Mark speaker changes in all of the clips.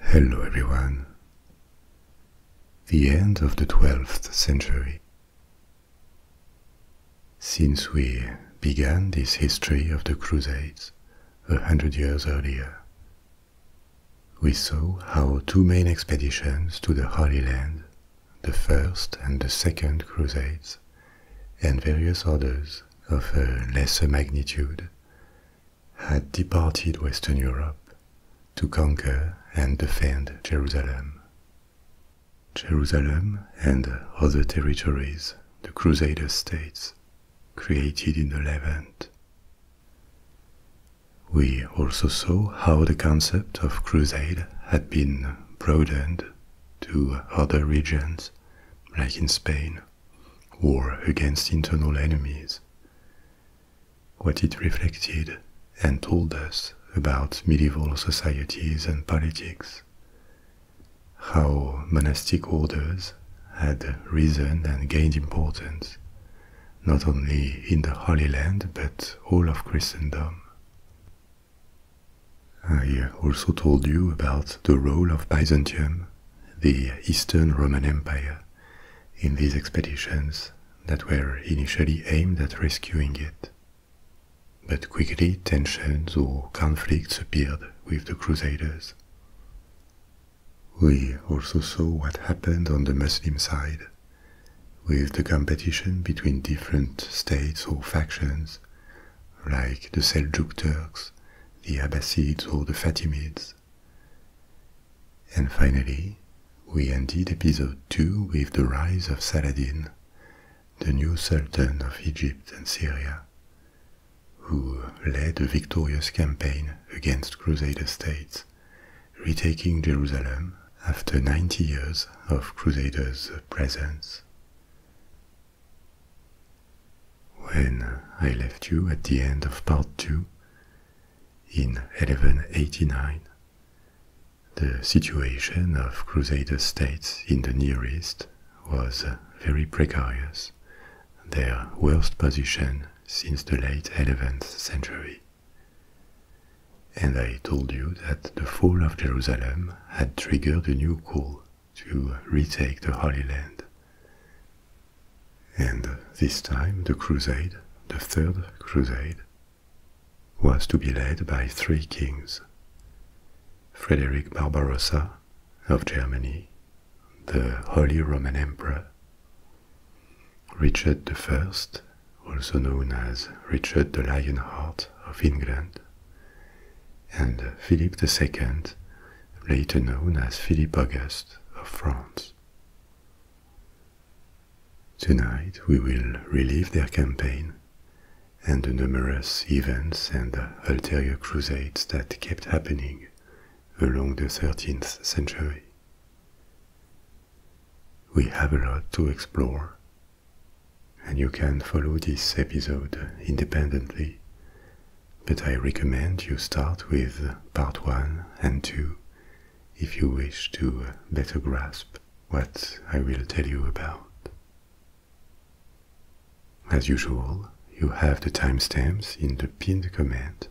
Speaker 1: Hello everyone. The end of the 12th century. Since we began this history of the Crusades a hundred years earlier, we saw how two main expeditions to the Holy Land, the First and the Second Crusades, and various orders of lesser magnitude had departed Western Europe to conquer and defend Jerusalem. Jerusalem and other territories the Crusader states created in the Levant. We also saw how the concept of crusade had been broadened to other regions, like in Spain, War against internal enemies. What it reflected and told us about medieval societies and politics, how monastic orders had risen and gained importance, not only in the Holy Land but all of Christendom. I also told you about the role of Byzantium the Eastern Roman Empire in these expeditions that were initially aimed at rescuing it. But quickly tensions or conflicts appeared with the Crusaders. We also saw what happened on the Muslim side, with the competition between different states or factions, like the Seljuk Turks the Abbasids or the Fatimids. And finally, we ended episode 2 with the rise of Saladin, the new Sultan of Egypt and Syria, who led a victorious campaign against Crusader states, retaking Jerusalem after 90 years of Crusaders' presence. When I left you at the end of part two, in 1189, the situation of Crusader states in the nearest was uh, very precarious, their worst position since the late 11th century. And I told you that the fall of Jerusalem had triggered a new call to retake the Holy Land. And this time the crusade, the Third Crusade, was to be led by three kings Frederick Barbarossa of Germany, the Holy Roman Emperor, Richard I, also known as Richard the Lionheart of England, and Philip II, later known as Philip August of France. Tonight we will relive their campaign and the numerous events and ulterior crusades that kept happening along the 13th century. We have a lot to explore, and you can follow this episode independently but I recommend you start with part 1 and 2 if you wish to better grasp what I will tell you about. As usual, you have the timestamps in the pinned comment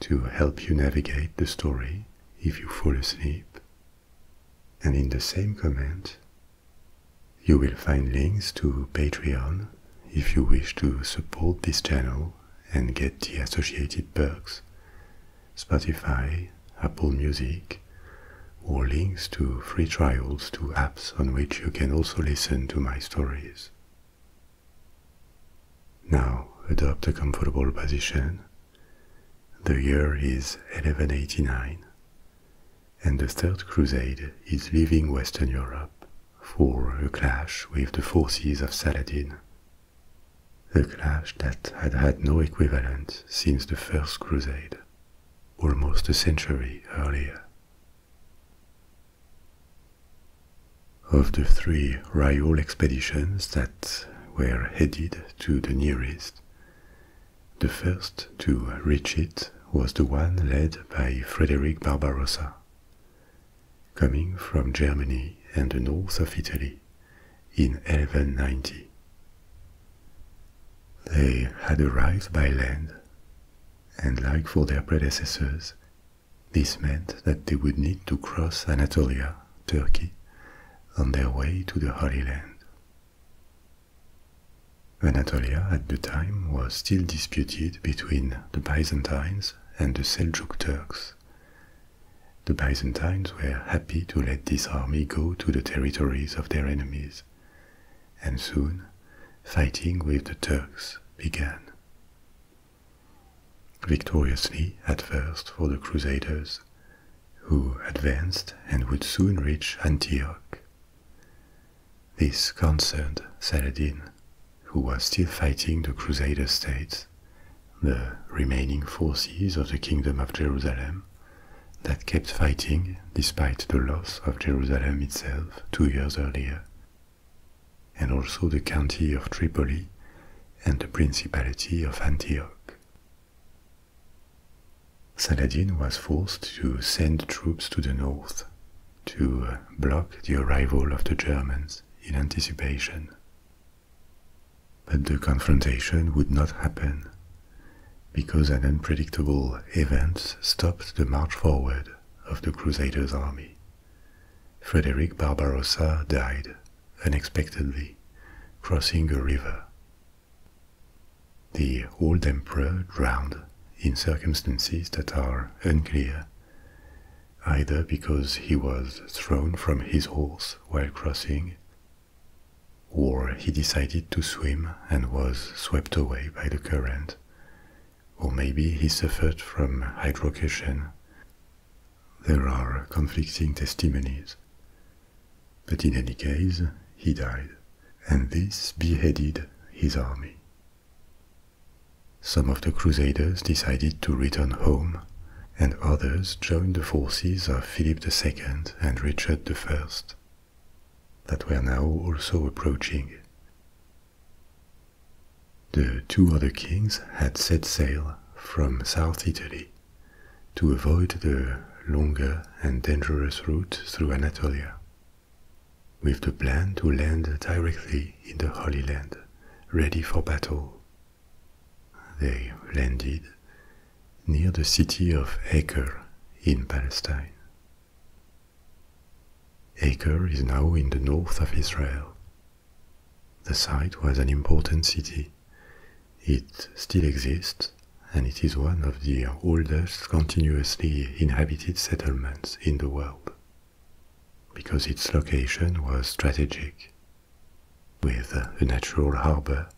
Speaker 1: to help you navigate the story if you fall asleep. And in the same comment, you will find links to Patreon if you wish to support this channel and get the associated perks, Spotify, Apple Music, or links to free trials to apps on which you can also listen to my stories. Now adopt a comfortable position. The year is 1189, and the Third Crusade is leaving Western Europe for a clash with the forces of Saladin, a clash that had had no equivalent since the First Crusade, almost a century earlier. Of the three royal expeditions that were headed to the nearest, the first to reach it was the one led by Frederick Barbarossa coming from Germany and the north of Italy in 1190. They had arrived by land, and like for their predecessors, this meant that they would need to cross Anatolia, Turkey, on their way to the Holy Land. Anatolia at the time was still disputed between the Byzantines and the Seljuk Turks. The Byzantines were happy to let this army go to the territories of their enemies, and soon fighting with the Turks began. Victoriously at first for the Crusaders, who advanced and would soon reach Antioch this concerned Saladin, who was still fighting the Crusader states, the remaining forces of the Kingdom of Jerusalem, that kept fighting despite the loss of Jerusalem itself two years earlier, and also the county of Tripoli and the Principality of Antioch. Saladin was forced to send troops to the north to uh, block the arrival of the Germans in anticipation. But the confrontation would not happen because an unpredictable event stopped the march forward of the Crusaders' army. Frederick Barbarossa died unexpectedly crossing a river. The old emperor drowned in circumstances that are unclear either because he was thrown from his horse while crossing, or he decided to swim and was swept away by the current, or maybe he suffered from hydrocation. There are conflicting testimonies. But in any case, he died, and this beheaded his army, some of the Crusaders decided to return home, and others joined the forces of Philip II and Richard I, that were now also approaching. The two other kings had set sail from South Italy to avoid the longer and dangerous route through Anatolia with the plan to land directly in the Holy Land, ready for battle. They landed near the city of Acre in Palestine. Acre is now in the north of Israel. The site was an important city. It still exists and it is one of the oldest continuously inhabited settlements in the world because its location was strategic, with a natural harbor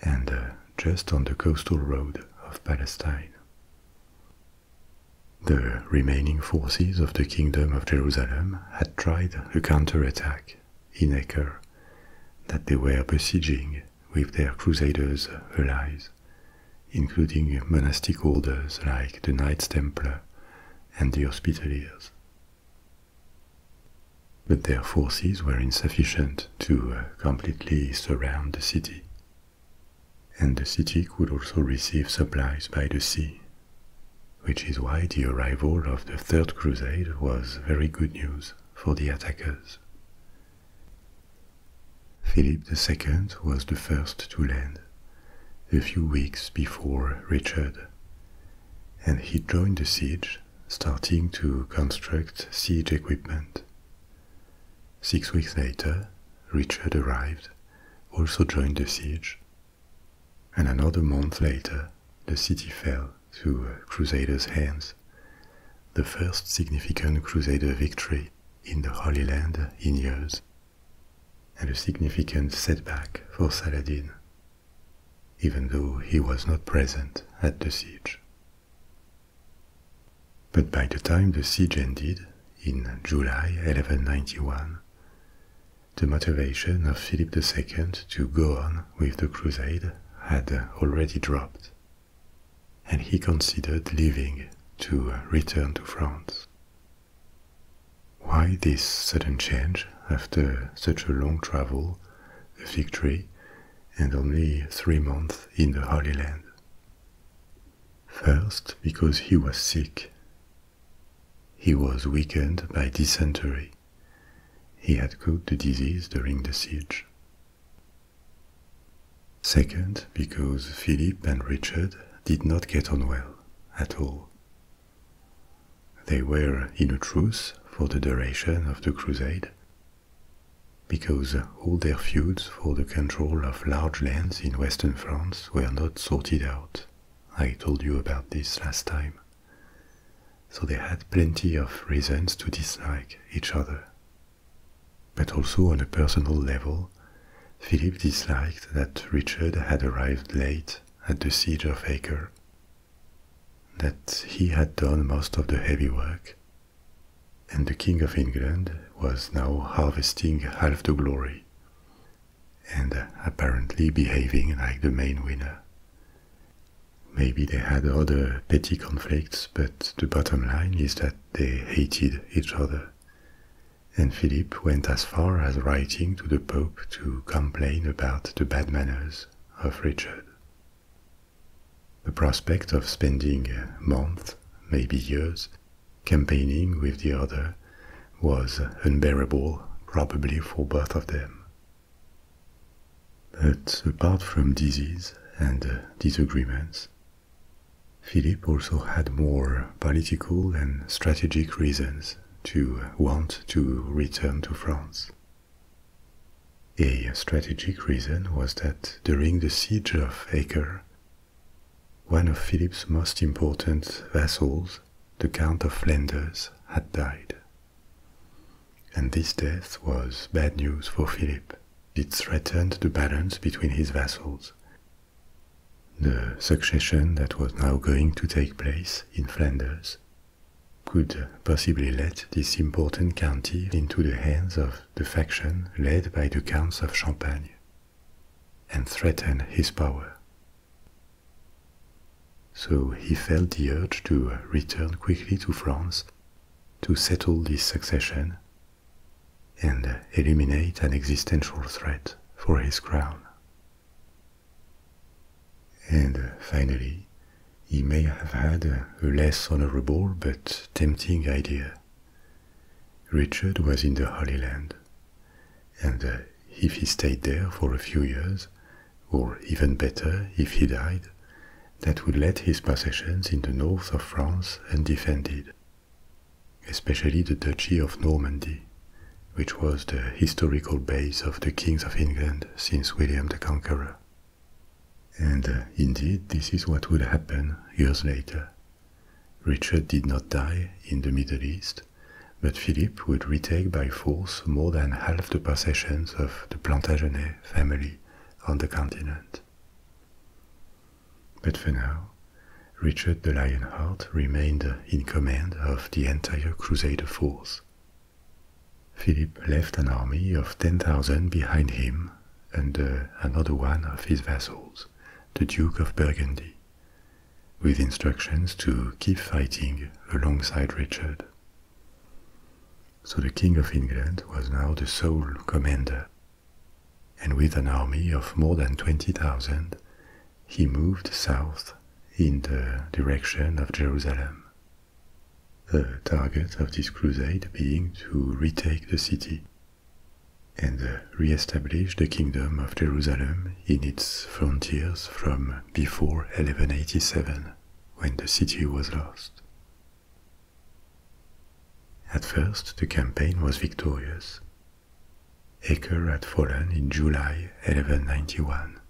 Speaker 1: and uh, just on the coastal road of Palestine. The remaining forces of the Kingdom of Jerusalem had tried a counterattack in Acre that they were besieging with their crusaders' allies including monastic orders like the Knights Templar and the Hospitaliers. But their forces were insufficient to uh, completely surround the city. And the city could also receive supplies by the sea, which is why the arrival of the Third Crusade was very good news for the attackers. Philip II was the first to land, a few weeks before Richard, and he joined the siege, starting to construct siege equipment. Six weeks later, Richard arrived, also joined the siege, and another month later, the city fell to Crusaders' hands, the first significant Crusader victory in the Holy Land in years and a significant setback for Saladin, even though he was not present at the siege. But by the time the siege ended, in July 1191, the motivation of Philip II to go on with the crusade had already dropped, and he considered leaving to return to France. Why this sudden change after such a long travel, a victory, and only three months in the Holy Land? First, because he was sick. He was weakened by dysentery. He had caught the disease during the siege. Second, because Philip and Richard did not get on well at all. They were in a truce for the duration of the crusade, because all their feuds for the control of large lands in western France were not sorted out. I told you about this last time. So they had plenty of reasons to dislike each other. But also on a personal level, Philip disliked that Richard had arrived late at the siege of Acre, that he had done most of the heavy work, and the King of England was now harvesting half the glory and apparently behaving like the main winner. Maybe they had other petty conflicts, but the bottom line is that they hated each other and Philip went as far as writing to the Pope to complain about the bad manners of Richard. The prospect of spending months, maybe years, campaigning with the other was unbearable, probably for both of them. But apart from disease and disagreements, Philip also had more political and strategic reasons to want to return to France. A strategic reason was that during the siege of Acre, one of Philip's most important vassals, the Count of Flanders, had died. And this death was bad news for Philip. It threatened the balance between his vassals the succession that was now going to take place in Flanders could possibly let this important county into the hands of the faction led by the Counts of Champagne and threaten his power. So he felt the urge to return quickly to France to settle this succession and eliminate an existential threat for his crown. And finally, he may have had a less honorable but tempting idea. Richard was in the Holy Land, and if he stayed there for a few years, or even better, if he died, that would let his possessions in the north of France undefended especially the Duchy of Normandy, which was the historical base of the kings of England since William the Conqueror. And uh, indeed, this is what would happen years later. Richard did not die in the Middle East, but Philip would retake by force more than half the possessions of the Plantagenet family on the continent. But for now, Richard the Lionheart remained in command of the entire Crusader force. Philip left an army of 10,000 behind him and uh, another one of his vassals, the Duke of Burgundy, with instructions to keep fighting alongside Richard. So the King of England was now the sole commander, and with an army of more than 20,000, he moved south in the direction of Jerusalem, the target of this crusade being to retake the city and uh, re-establish the kingdom of Jerusalem in its frontiers from before 1187, when the city was lost. At first the campaign was victorious, Acre had fallen in July 1191.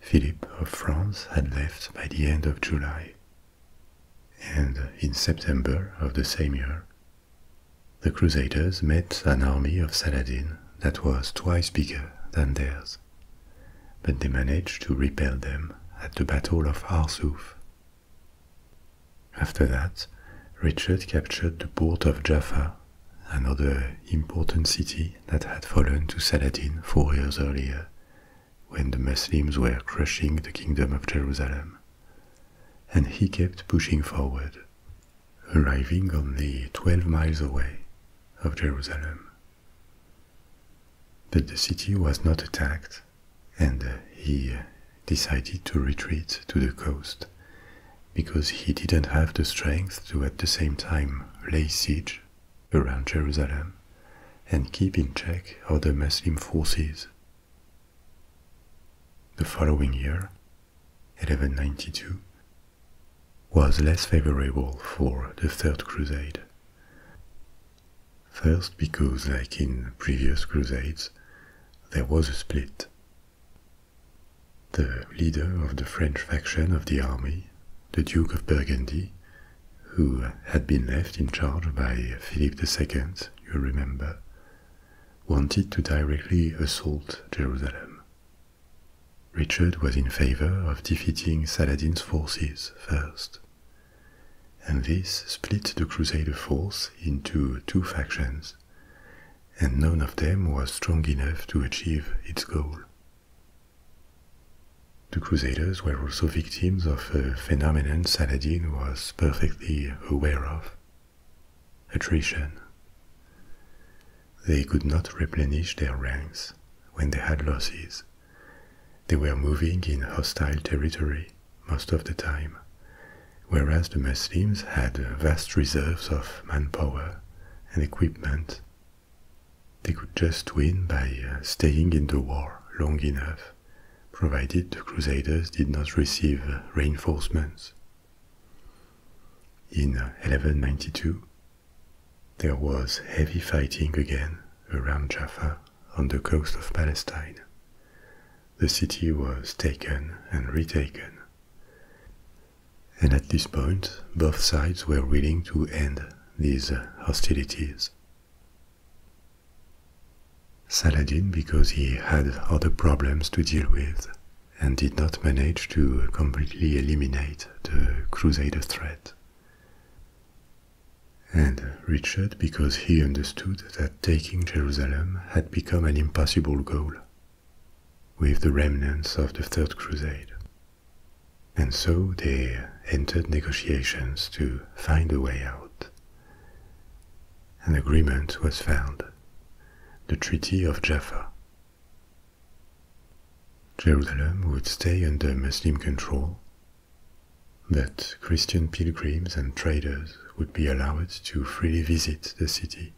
Speaker 1: Philip of France had left by the end of July. And in September of the same year, the Crusaders met an army of Saladin that was twice bigger than theirs. But they managed to repel them at the Battle of Arsuf. After that, Richard captured the port of Jaffa, another important city that had fallen to Saladin four years earlier, when the Muslims were crushing the kingdom of Jerusalem. And he kept pushing forward, arriving only 12 miles away of Jerusalem. But the city was not attacked, and he decided to retreat to the coast because he didn't have the strength to at the same time lay siege around Jerusalem and keep in check other Muslim forces. The following year, 1192, was less favorable for the Third Crusade. First, because, like in previous crusades, there was a split. The leader of the French faction of the army, the Duke of Burgundy, who had been left in charge by Philip II, you remember, wanted to directly assault Jerusalem. Richard was in favor of defeating Saladin's forces first, and this split the Crusader force into two factions and none of them was strong enough to achieve its goal. The Crusaders were also victims of a phenomenon Saladin was perfectly aware of attrition. They could not replenish their ranks when they had losses. They were moving in hostile territory most of the time, whereas the Muslims had vast reserves of manpower and equipment. They could just win by uh, staying in the war long enough, provided the Crusaders did not receive uh, reinforcements. In 1192, uh, there was heavy fighting again around Jaffa on the coast of Palestine. The city was taken and retaken and at this point, both sides were willing to end these hostilities. Saladin, because he had other problems to deal with and did not manage to completely eliminate the Crusader threat. And Richard, because he understood that taking Jerusalem had become an impossible goal with the remnants of the Third Crusade. And so they entered negotiations to find a way out. An agreement was found, the Treaty of Jaffa. Jerusalem would stay under Muslim control, but Christian pilgrims and traders would be allowed to freely visit the city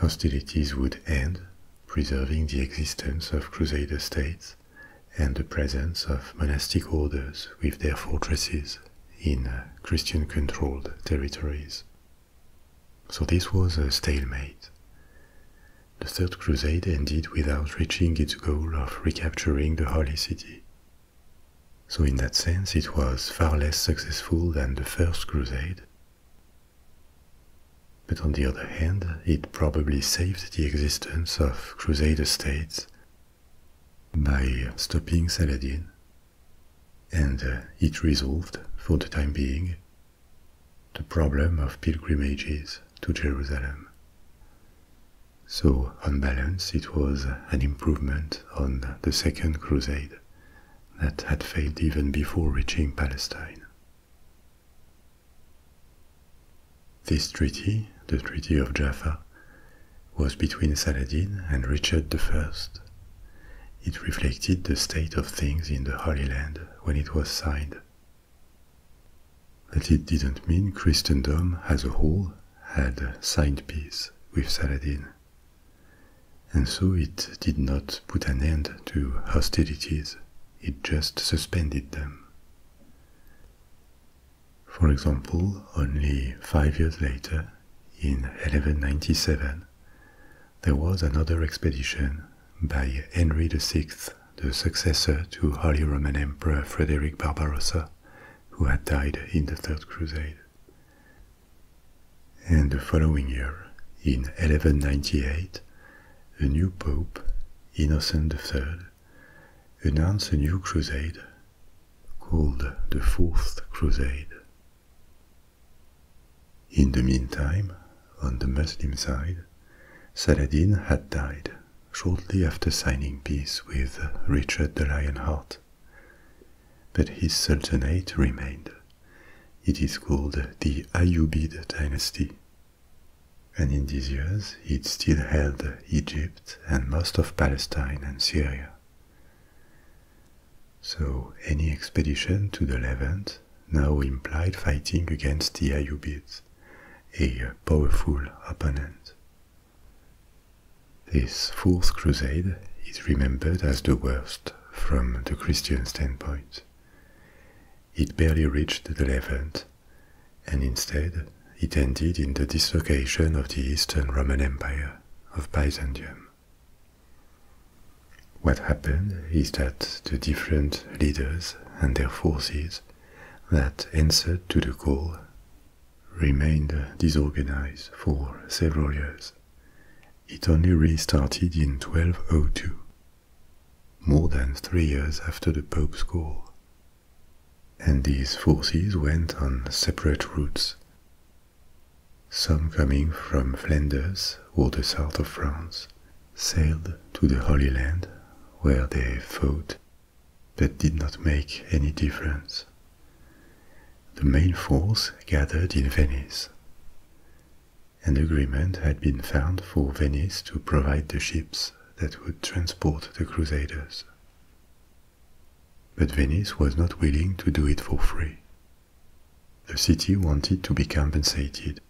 Speaker 1: Hostilities would end, preserving the existence of Crusader states and the presence of monastic orders with their fortresses in uh, Christian controlled territories. So this was a stalemate. The Third Crusade ended without reaching its goal of recapturing the Holy City. So, in that sense, it was far less successful than the First Crusade. But on the other hand, it probably saved the existence of crusader states by stopping Saladin, and uh, it resolved, for the time being, the problem of pilgrimages to Jerusalem. So, on balance, it was an improvement on the Second Crusade that had failed even before reaching Palestine. This treaty, the Treaty of Jaffa, was between Saladin and Richard I. It reflected the state of things in the Holy Land when it was signed. But it didn't mean Christendom as a whole had signed peace with Saladin. And so it did not put an end to hostilities, it just suspended them. For example, only five years later, in 1197, there was another expedition by Henry VI, the successor to Holy Roman Emperor Frederick Barbarossa, who had died in the Third Crusade. And the following year, in 1198, a new pope, Innocent III, announced a new crusade called the Fourth Crusade. In the meantime, on the Muslim side, Saladin had died shortly after signing peace with Richard the Lionheart, but his sultanate remained. It is called the Ayyubid dynasty. And in these years, it still held Egypt and most of Palestine and Syria. So any expedition to the Levant now implied fighting against the Ayyubids, a powerful opponent. This Fourth Crusade is remembered as the worst from the Christian standpoint. It barely reached the Levant, and instead it ended in the dislocation of the Eastern Roman Empire of Byzantium. What happened is that the different leaders and their forces that answered to the call remained disorganized for several years it only restarted in 1202, more than three years after the Pope's call. And these forces went on separate routes, some coming from Flanders or the south of France, sailed to the Holy Land, where they fought, but did not make any difference the main force gathered in Venice. An agreement had been found for Venice to provide the ships that would transport the Crusaders. But Venice was not willing to do it for free. The city wanted to be compensated,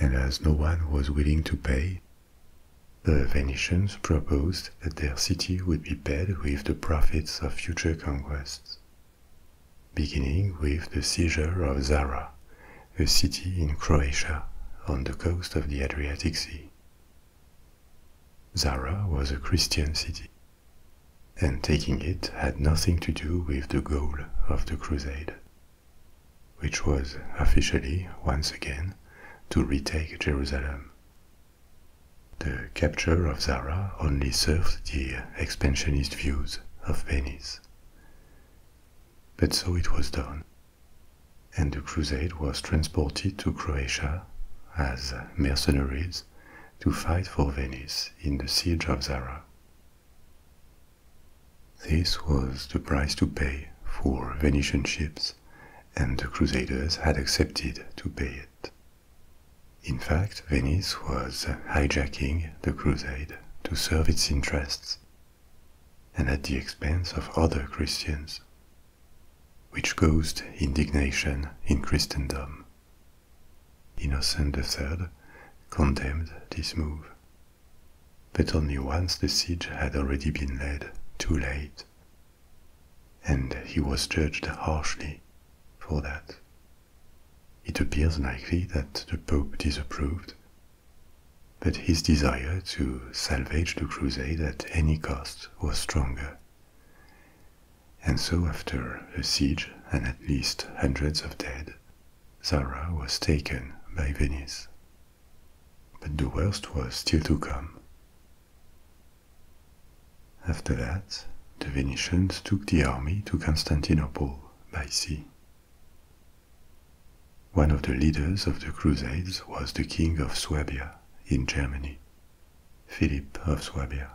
Speaker 1: and as no one was willing to pay, the Venetians proposed that their city would be paid with the profits of future conquests beginning with the seizure of Zara, a city in Croatia on the coast of the Adriatic Sea. Zara was a Christian city, and taking it had nothing to do with the goal of the crusade, which was officially, once again, to retake Jerusalem the capture of Zara only served the expansionist views of Venice. But so it was done, and the crusade was transported to Croatia as mercenaries to fight for Venice in the siege of Zara. This was the price to pay for Venetian ships, and the Crusaders had accepted to pay it. In fact, Venice was hijacking the crusade to serve its interests and at the expense of other Christians, which caused indignation in Christendom. Innocent III condemned this move, but only once the siege had already been led too late, and he was judged harshly for that. It appears likely that the Pope disapproved, but his desire to salvage the crusade at any cost was stronger. And so, after a siege and at least hundreds of dead, Zara was taken by Venice. But the worst was still to come. After that, the Venetians took the army to Constantinople by sea. One of the leaders of the Crusades was the King of Swabia in Germany, Philip of Swabia,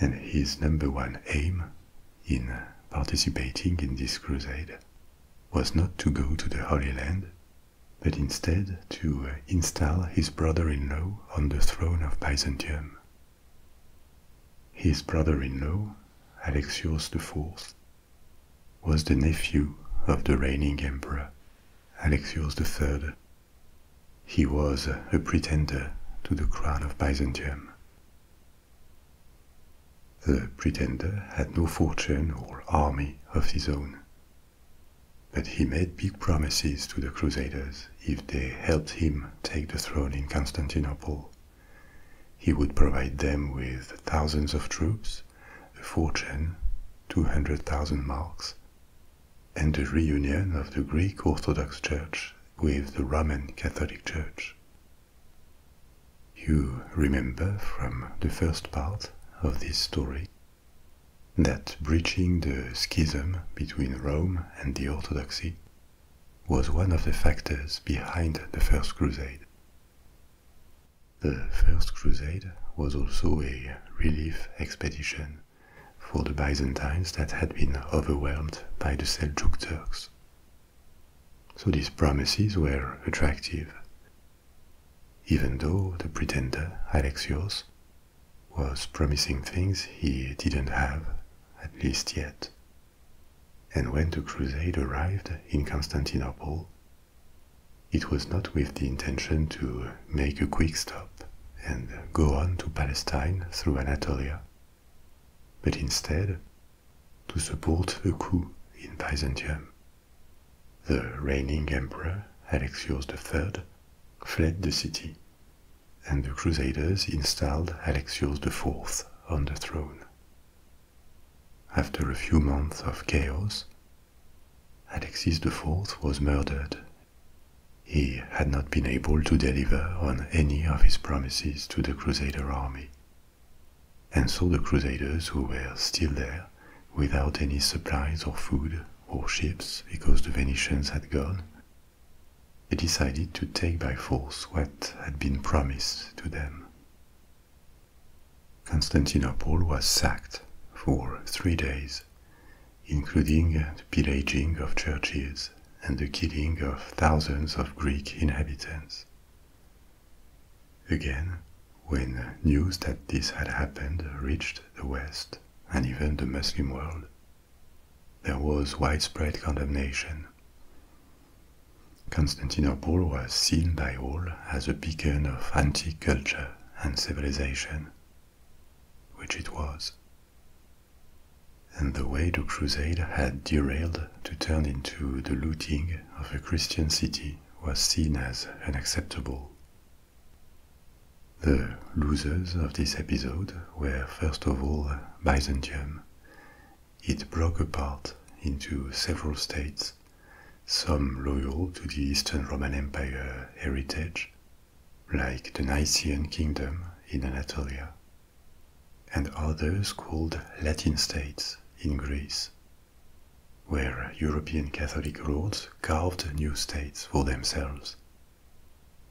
Speaker 1: and his number one aim in participating in this crusade was not to go to the Holy Land, but instead to uh, install his brother in law on the throne of Byzantium his brother-in-law, Alexius IV, was the nephew of the reigning emperor, Alexius III. He was a pretender to the crown of Byzantium. The pretender had no fortune or army of his own but he made big promises to the Crusaders if they helped him take the throne in Constantinople. He would provide them with thousands of troops, a fortune, 200,000 marks, and the reunion of the Greek Orthodox Church with the Roman Catholic Church. You remember from the first part of this story that breaching the schism between Rome and the Orthodoxy was one of the factors behind the First Crusade. The First Crusade was also a relief expedition for the Byzantines that had been overwhelmed by the Seljuk Turks. So these promises were attractive, even though the pretender Alexios was promising things he didn't have, at least yet. And when the crusade arrived in Constantinople, it was not with the intention to make a quick stop and go on to Palestine through Anatolia, but instead to support a coup in Byzantium. The reigning emperor, Alexius III, fled the city and the Crusaders installed Alexius IV on the throne. After a few months of chaos, Alexius IV was murdered. He had not been able to deliver on any of his promises to the Crusader army. And so the Crusaders, who were still there, without any supplies or food or ships because the Venetians had gone, they decided to take by force what had been promised to them. Constantinople was sacked for three days, including the pillaging of churches and the killing of thousands of Greek inhabitants. Again, when news that this had happened reached the West and even the Muslim world, there was widespread condemnation. Constantinople was seen by all as a beacon of antique culture and civilization, which it was. And the way the crusade had derailed to turn into the looting of a Christian city was seen as unacceptable. The losers of this episode were first of all Byzantium. It broke apart into several states, some loyal to the Eastern Roman Empire heritage, like the Nicene Kingdom in Anatolia, and others called Latin states in Greece, where European Catholic lords carved new states for themselves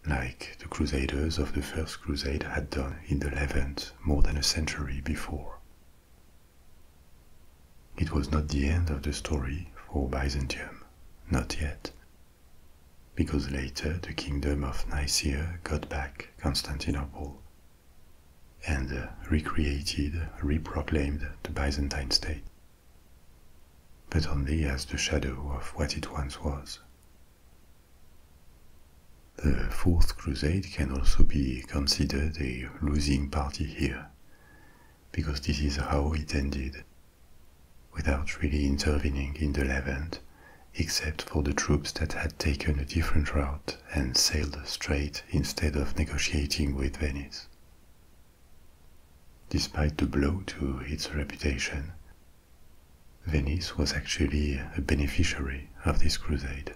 Speaker 1: like the Crusaders of the First Crusade had done in the Levant more than a century before. It was not the end of the story for Byzantium, not yet, because later the kingdom of Nicaea got back Constantinople and recreated, re-proclaimed the Byzantine state but only as the shadow of what it once was. The Fourth Crusade can also be considered a losing party here, because this is how it ended, without really intervening in the Levant, except for the troops that had taken a different route and sailed straight instead of negotiating with Venice. Despite the blow to its reputation, Venice was actually a beneficiary of this crusade,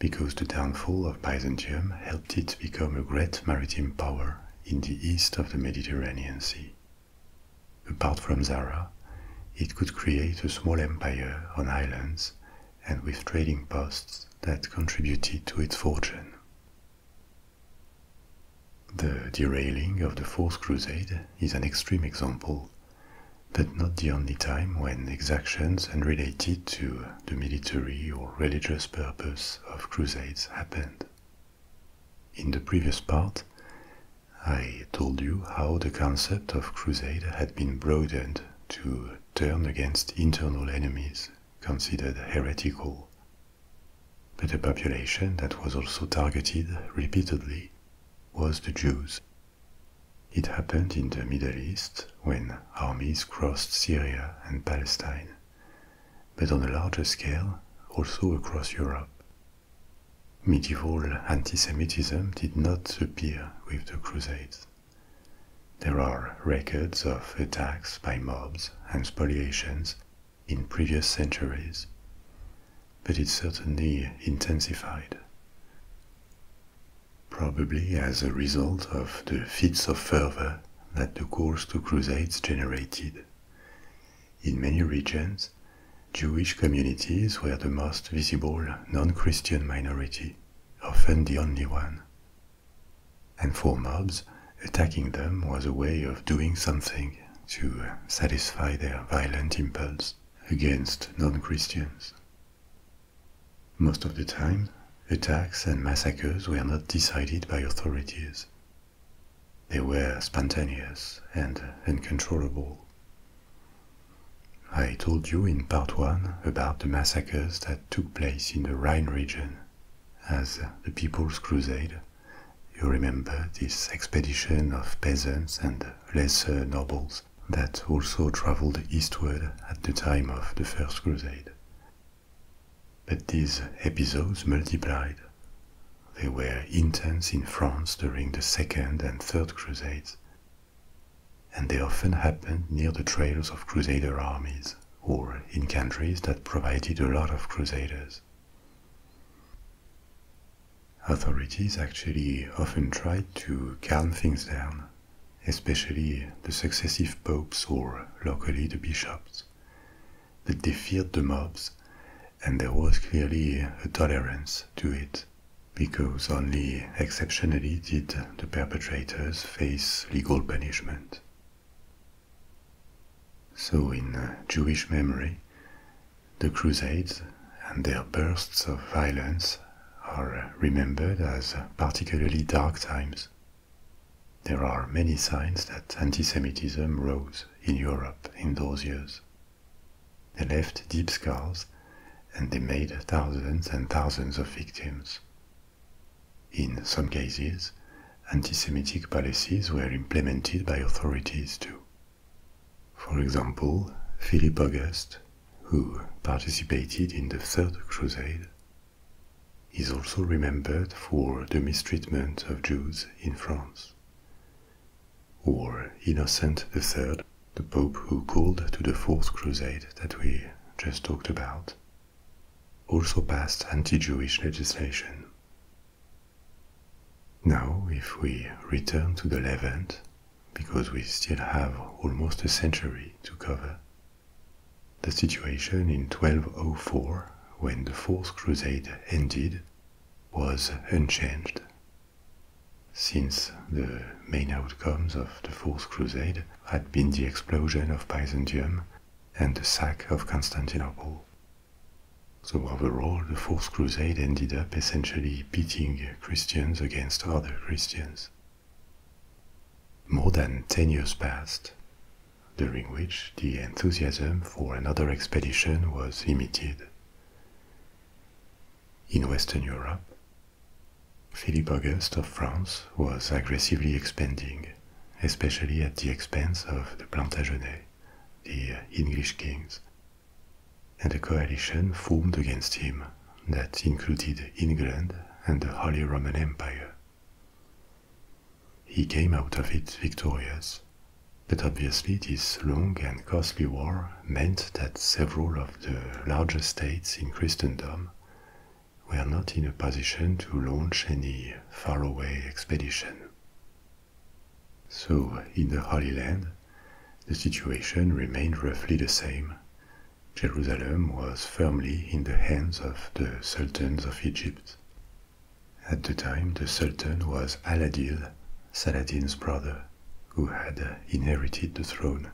Speaker 1: because the downfall of Byzantium helped it become a great maritime power in the east of the Mediterranean Sea. Apart from Zara, it could create a small empire on islands and with trading posts that contributed to its fortune. The derailing of the Fourth Crusade is an extreme example, but not the only time when exactions and related to the military or religious purpose of crusades happened. In the previous part, I told you how the concept of crusade had been broadened to turn against internal enemies considered heretical but a population that was also targeted repeatedly was the Jews. It happened in the Middle East when armies crossed Syria and Palestine, but on a larger scale also across Europe. Medieval antisemitism did not appear with the Crusades. There are records of attacks by mobs and spoliations in previous centuries, but it certainly intensified. Probably as a result of the fits of fervor that the calls to crusades generated. In many regions, Jewish communities were the most visible non Christian minority, often the only one. And for mobs, attacking them was a way of doing something to uh, satisfy their violent impulse against non-Christians. Most of the time, attacks and massacres were not decided by authorities. They were spontaneous and uncontrollable. I told you in part one about the massacres that took place in the Rhine region as the People's Crusade you remember this expedition of peasants and lesser nobles that also traveled eastward at the time of the First Crusade. But these episodes multiplied. They were intense in France during the Second and Third Crusades, and they often happened near the trails of Crusader armies or in countries that provided a lot of Crusaders. Authorities actually often tried to calm things down, especially the successive popes or locally the bishops, that they feared the mobs, and there was clearly a tolerance to it, because only exceptionally did the perpetrators face legal punishment. So, in uh, Jewish memory, the Crusades and their bursts of violence are uh, remembered as uh, particularly dark times. There are many signs that anti-Semitism rose in Europe in those years. They left deep scars and they made thousands and thousands of victims. In some cases, anti Semitic policies were implemented by authorities too. For example, Philip August, who participated in the Third Crusade, is also remembered for the mistreatment of Jews in France. Or Innocent III, the Pope who called to the Fourth Crusade that we just talked about, also passed anti Jewish legislation. Now, if we return to the Levant, because we still have almost a century to cover, the situation in 1204, when the Fourth Crusade ended, was unchanged. Since the main outcomes of the Fourth Crusade had been the explosion of Byzantium and the sack of Constantinople. So overall, the Fourth Crusade ended up essentially beating Christians against other Christians. More than ten years passed, during which the enthusiasm for another expedition was limited. In Western Europe, Philip August of France was aggressively expanding, especially at the expense of the Plantagenets, the English kings and a coalition formed against him that included England and the Holy Roman Empire. He came out of it victorious, but obviously this long and costly war meant that several of the larger states in Christendom were not in a position to launch any faraway expedition. So, in the Holy Land, the situation remained roughly the same. Jerusalem was firmly in the hands of the sultans of Egypt. At the time, the sultan was Aladil, Saladin's brother, who had inherited the throne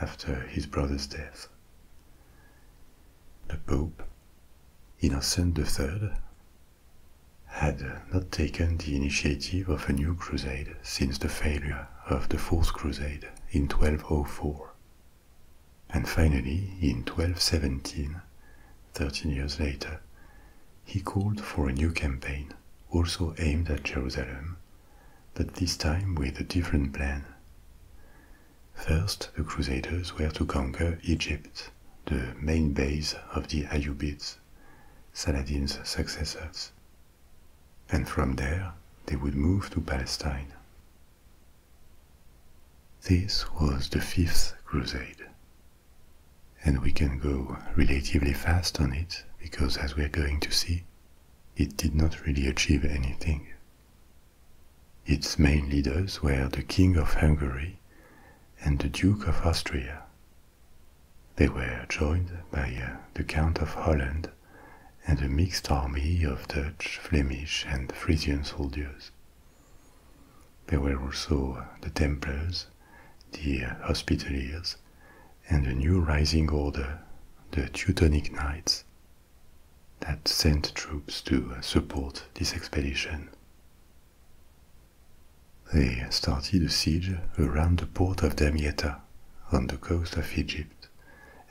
Speaker 1: after his brother's death. The Pope, Innocent III, had not taken the initiative of a new crusade since the failure of the Fourth Crusade in 1204. And finally, in 1217, 13 years later, he called for a new campaign, also aimed at Jerusalem, but this time with a different plan. First, the Crusaders were to conquer Egypt the main base of the Ayyubids, Saladin's successors. And from there, they would move to Palestine. This was the Fifth Crusade. And we can go relatively fast on it because, as we're going to see, it did not really achieve anything. Its main leaders were the King of Hungary and the Duke of Austria. They were joined by uh, the Count of Holland and a mixed army of Dutch, Flemish, and Frisian soldiers. There were also uh, the Templars, the uh, Hospitaliers, and a new rising order, the Teutonic Knights, that sent troops to support this expedition. They started a siege around the port of Damietta on the coast of Egypt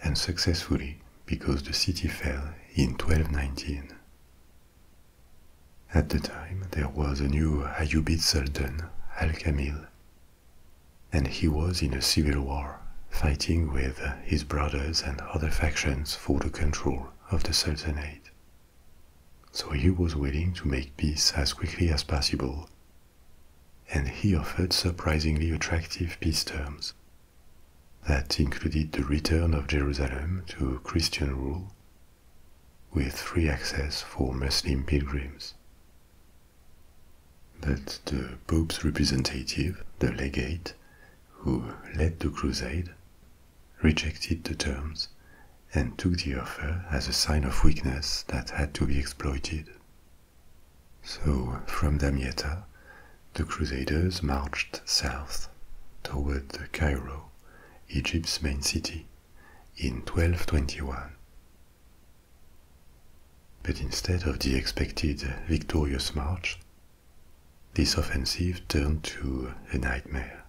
Speaker 1: and successfully because the city fell in 1219. At the time, there was a new Ayyubid Sultan, Al-Kamil, and he was in a civil war, fighting with his brothers and other factions for the control of the Sultanate. So he was willing to make peace as quickly as possible, and he offered surprisingly attractive peace terms. That included the return of Jerusalem to Christian rule, with free access for Muslim pilgrims. But the Pope's representative, the legate, who led the crusade, rejected the terms, and took the offer as a sign of weakness that had to be exploited. So, from Damietta, the Crusaders marched south toward the Cairo, Egypt's main city, in 1221. But instead of the expected victorious march, this offensive turned to a nightmare.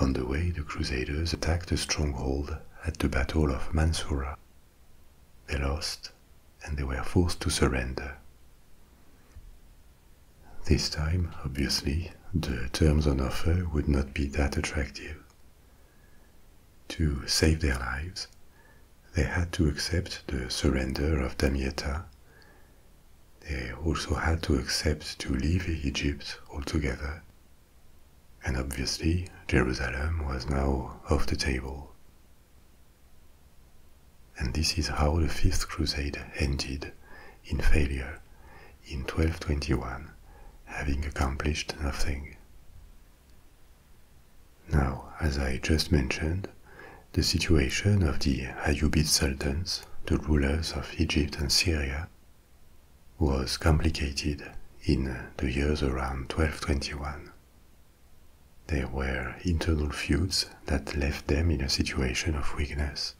Speaker 1: On the way, the Crusaders attacked a stronghold at the Battle of Mansoura. They lost, and they were forced to surrender. This time, obviously, the terms on offer would not be that attractive. To save their lives, they had to accept the surrender of Damietta they also had to accept to leave Egypt altogether. And obviously, Jerusalem was now off the table. And this is how the Fifth Crusade ended in failure in 1221, having accomplished nothing. Now, as I just mentioned, the situation of the Ayyubid sultans the rulers of Egypt and Syria was complicated in the years around 1221. There were internal feuds that left them in a situation of weakness,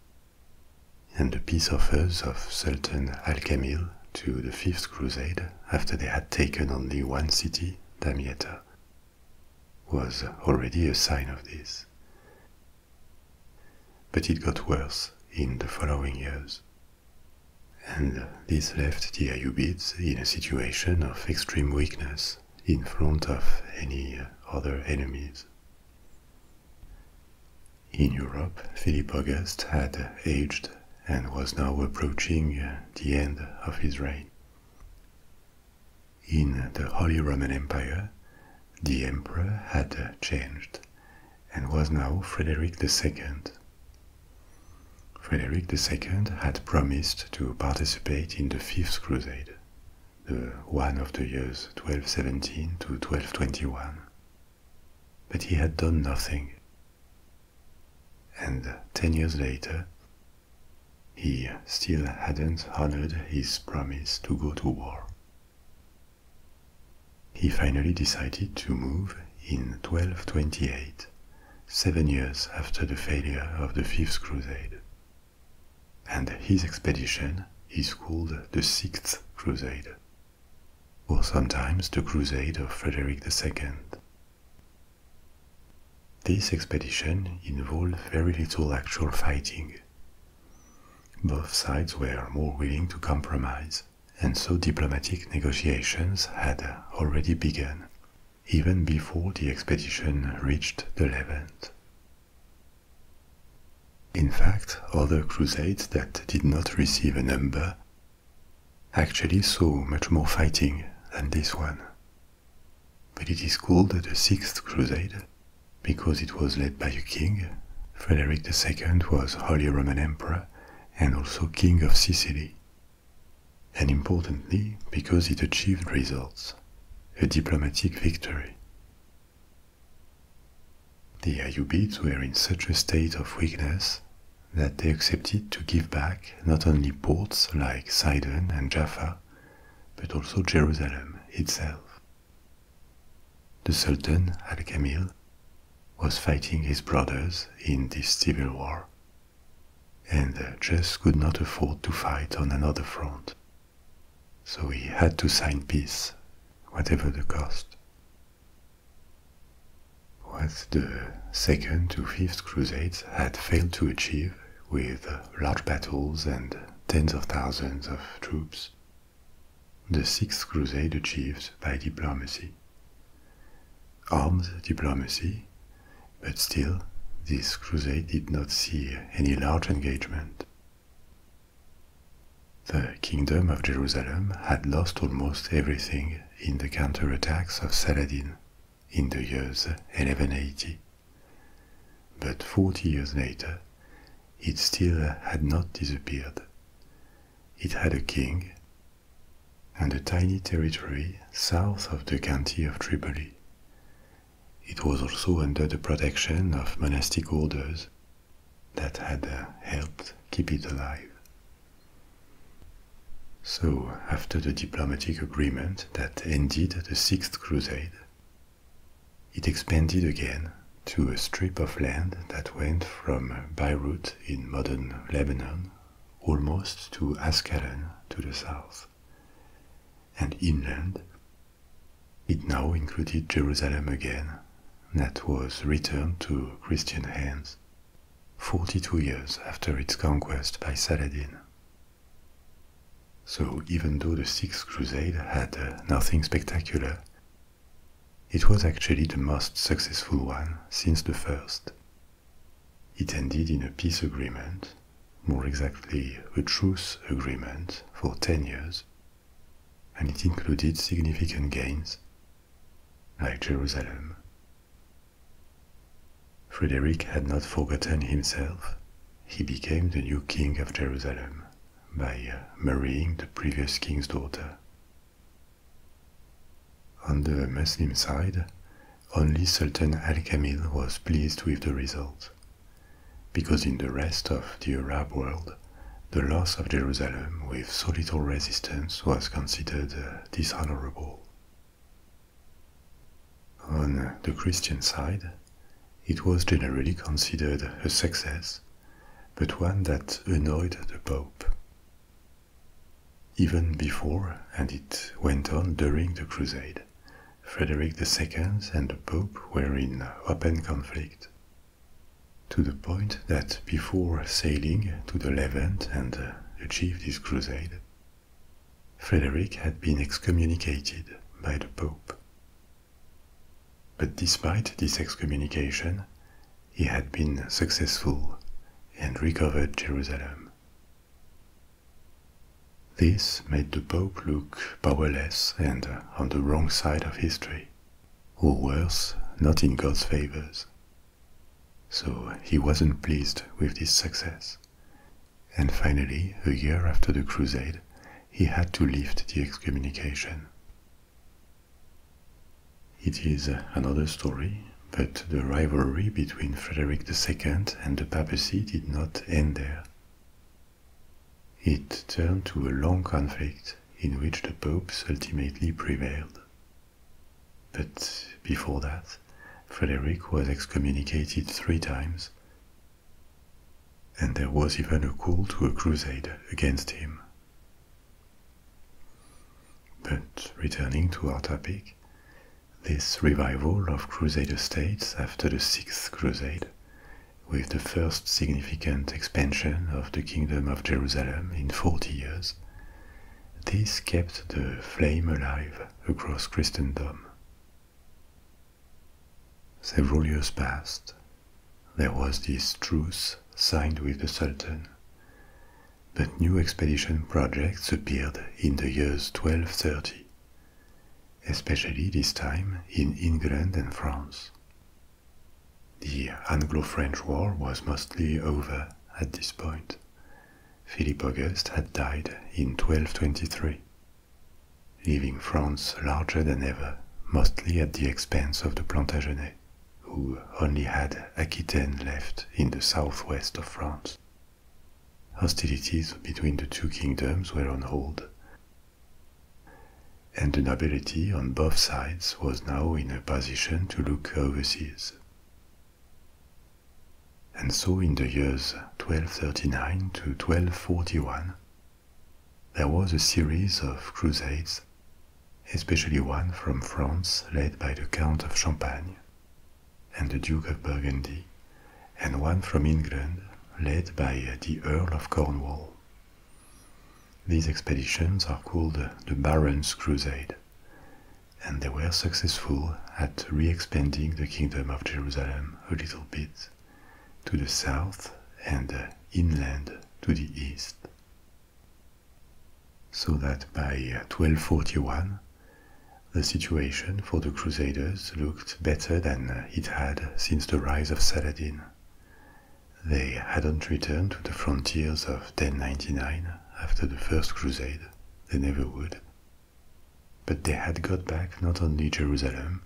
Speaker 1: and the peace offers of Sultan Al-Kamil to the Fifth Crusade after they had taken only one city, Damietta, was already a sign of this. But it got worse in the following years. And this left the Ayyubids in a situation of extreme weakness in front of any other enemies. In Europe, Philip August had aged and was now approaching the end of his reign. In the Holy Roman Empire, the emperor had changed and was now Frederick II. Frederick II had promised to participate in the Fifth Crusade, the one of the years 1217 to 1221, but he had done nothing. And ten years later, he still hadn't honored his promise to go to war. He finally decided to move in 1228, seven years after the failure of the Fifth Crusade. And his expedition is called the Sixth Crusade, or sometimes the Crusade of Frederick II. This expedition involved very little actual fighting, both sides were more willing to compromise, and so diplomatic negotiations had already begun, even before the expedition reached the Levant. In fact, other crusades that did not receive a number actually saw much more fighting than this one. But it is called the Sixth Crusade because it was led by a king, Frederick II was Holy Roman Emperor and also King of Sicily. And importantly, because it achieved results, a diplomatic victory. The Ayyubids were in such a state of weakness that they accepted to give back not only ports like Sidon and Jaffa, but also Jerusalem itself. The Sultan Al Kamil was fighting his brothers in this civil war and just could not afford to fight on another front. So he had to sign peace, whatever the cost. What the Second to Fifth Crusades had failed to achieve with large battles and tens of thousands of troops the Sixth Crusade achieved by diplomacy. Arms diplomacy, but still, this crusade did not see any large engagement. The Kingdom of Jerusalem had lost almost everything in the counter attacks of Saladin in the years 1180. But forty years later, it still had not disappeared. It had a king and a tiny territory south of the county of Tripoli. It was also under the protection of monastic orders that had uh, helped keep it alive. So, after the diplomatic agreement that ended the Sixth Crusade, it expanded again to a strip of land that went from Beirut in modern Lebanon almost to Ascalon to the south. And inland, it now included Jerusalem again, that was returned to Christian hands 42 years after its conquest by Saladin. So, even though the Sixth Crusade had uh, nothing spectacular, it was actually the most successful one since the first. It ended in a peace agreement, more exactly, a truce agreement for 10 years, and it included significant gains, like Jerusalem. Frederick had not forgotten himself, he became the new king of Jerusalem by uh, marrying the previous king's daughter. On the Muslim side, only Sultan Al Kamil was pleased with the result, because in the rest of the Arab world, the loss of Jerusalem with so little resistance was considered uh, dishonorable. On the Christian side, it was generally considered a success, but one that annoyed the Pope. Even before, and it went on during the Crusade, Frederick II and the Pope were in open conflict. To the point that before sailing to the Levant and achieve his crusade, Frederick had been excommunicated by the Pope. But despite this excommunication, he had been successful and recovered Jerusalem. This made the Pope look powerless and on the wrong side of history, or worse, not in God's favors. So he wasn't pleased with this success. And finally, a year after the crusade, he had to lift the excommunication. It is another story, but the rivalry between Frederick II and the papacy did not end there. It turned to a long conflict in which the popes ultimately prevailed. But before that, Frederick was excommunicated three times and there was even a call to a crusade against him. But returning to our topic, this revival of crusader states after the Sixth Crusade, with the first significant expansion of the Kingdom of Jerusalem in 40 years, this kept the flame alive across Christendom. Several years passed, there was this truce signed with the Sultan. But new expedition projects appeared in the years 1230, especially this time in England and France. The Anglo French War was mostly over at this point. Philip August had died in 1223, leaving France larger than ever mostly at the expense of the Plantagenets, who only had Aquitaine left in the southwest of France. Hostilities between the two kingdoms were on hold, and the nobility on both sides was now in a position to look overseas. And so in the years 1239 to 1241, there was a series of crusades, especially one from France led by the Count of Champagne and the Duke of Burgundy, and one from England led by the Earl of Cornwall. These expeditions are called the Barons' Crusade, and they were successful at re expanding the Kingdom of Jerusalem a little bit to the south and inland to the east. So that by 1241, uh, the situation for the Crusaders looked better than uh, it had since the rise of Saladin. They hadn't returned to the frontiers of 1099 after the First Crusade, they never would. But they had got back not only Jerusalem,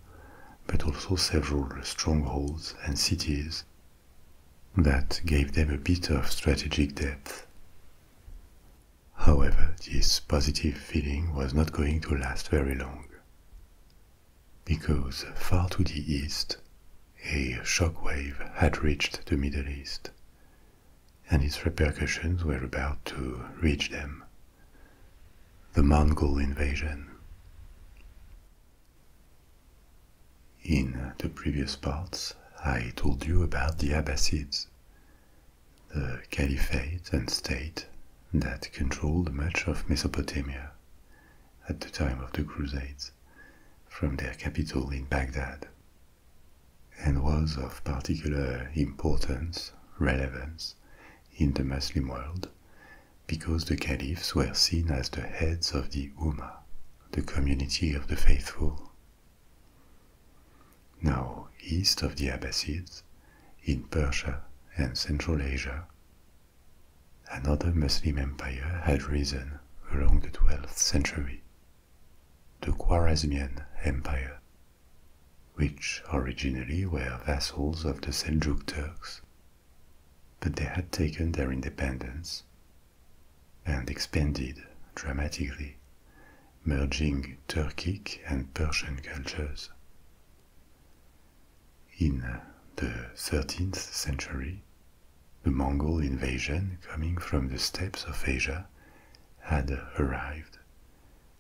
Speaker 1: but also several strongholds and cities that gave them a bit of strategic depth. However, this positive feeling was not going to last very long. Because far to the east, a shock wave had reached the Middle East, and its repercussions were about to reach them. The Mongol invasion. In the previous parts, I told you about the Abbasids, the caliphate and state that controlled much of Mesopotamia at the time of the Crusades from their capital in Baghdad, and was of particular importance, relevance in the Muslim world because the caliphs were seen as the heads of the Ummah, the community of the faithful. Now, east of the Abbasids, in Persia and Central Asia, another Muslim empire had risen along the 12th century, the Khwarezmian Empire, which originally were vassals of the Seljuk Turks but they had taken their independence and expanded dramatically, merging Turkic and Persian cultures. In the 13th century, the Mongol invasion coming from the steppes of Asia had arrived,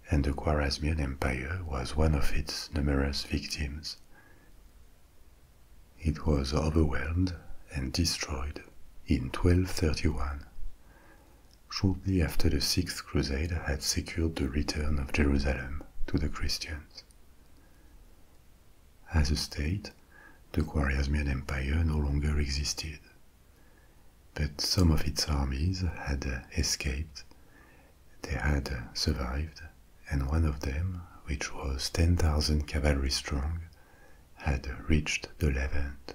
Speaker 1: and the Khwarezmian Empire was one of its numerous victims, it was overwhelmed and destroyed in 1231, shortly after the Sixth Crusade had secured the return of Jerusalem to the Christians. As a state, the Khwarezmian Empire no longer existed, but some of its armies had escaped, they had survived, and one of them, which was 10,000 cavalry strong, had reached the Levant.